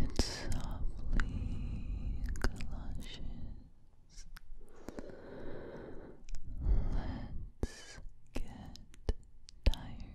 It softly clashes. Let's get tired.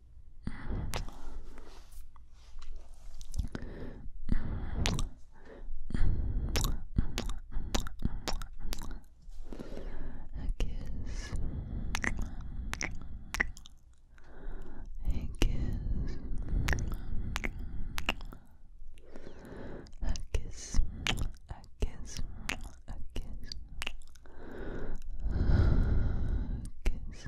A kiss. A kiss. A kiss. A kiss. A kiss eyes.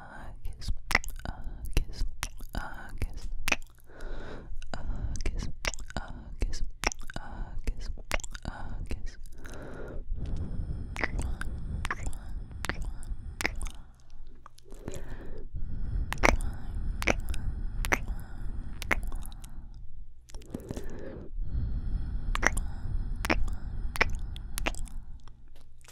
August, August, August, August, August, August, August.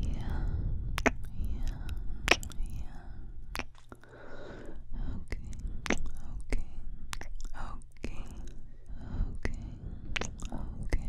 Yeah, yeah, yeah. Okay, okay, okay, okay, okay, okay.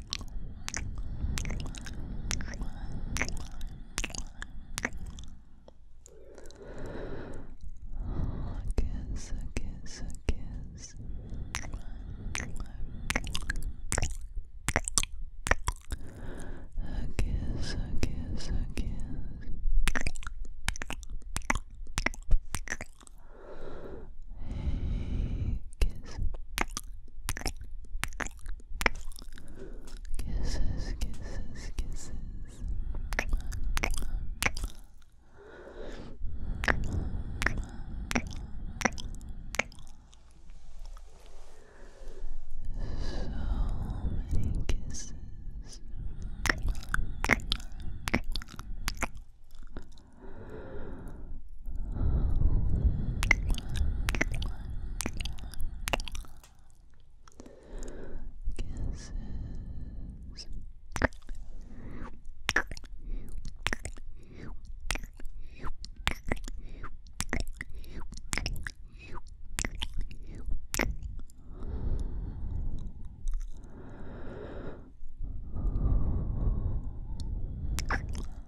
kiss, a kiss, a kiss. A kiss, a kiss, a kiss. Hey, kiss. Kisses, kisses, kisses. So many kisses. Kisses. Good night.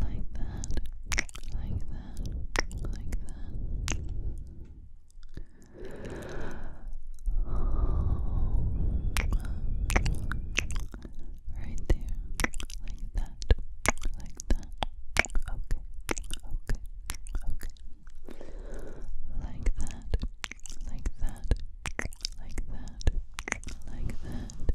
like that, like that, like that. Right there, like that, like that. Okay, okay, okay. Like that, like that, like that, like that.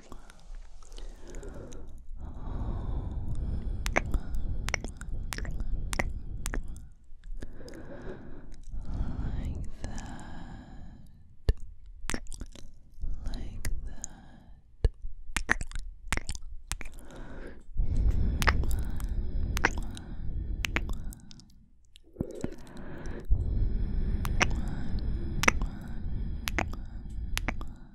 Like that. Like that. Like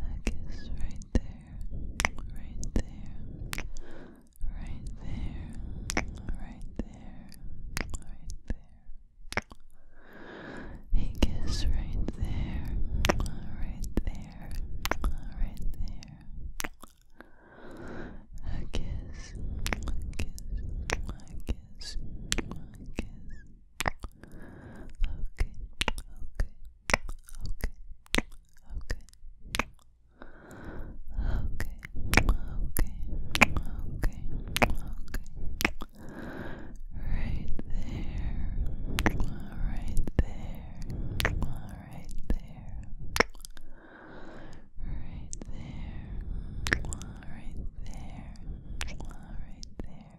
I guess right there, right there, right there, right there, right there. He guess right there, right there, right there. I guess, I guess, I Okay, okay, okay, Okay. Okay. Okay. Okay. Okay. Right there. Right there. Right there. Right there. Right there. Right there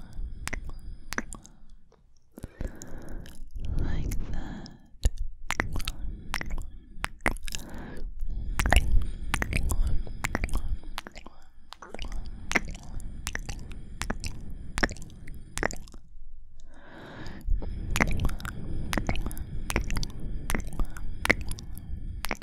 like that. Like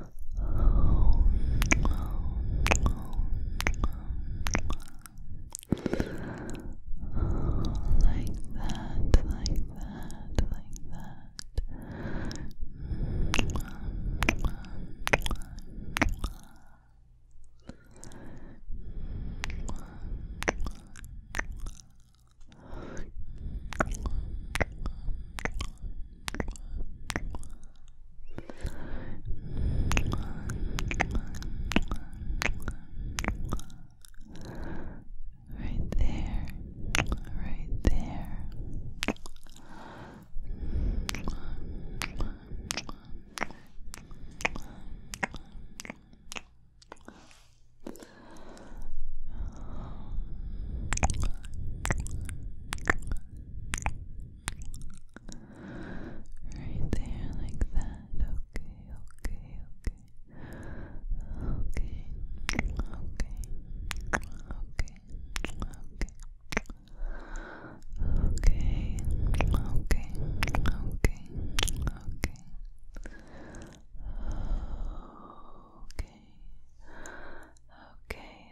Like that, like that, like that. Right there, right there. Right there, like that. Okay, okay, okay. Okay, okay, okay, okay, okay, okay, okay, okay. Okay,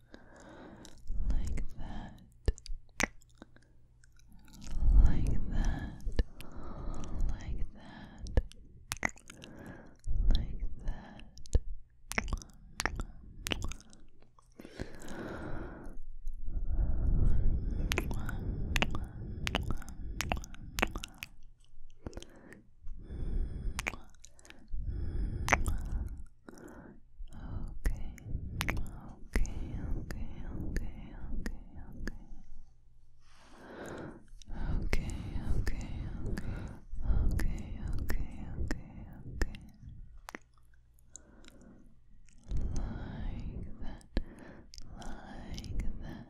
like that, like that, like that, like that. Okay, okay, okay, okay, okay, okay. Okay, okay, okay, okay, okay, okay, Like that, like that.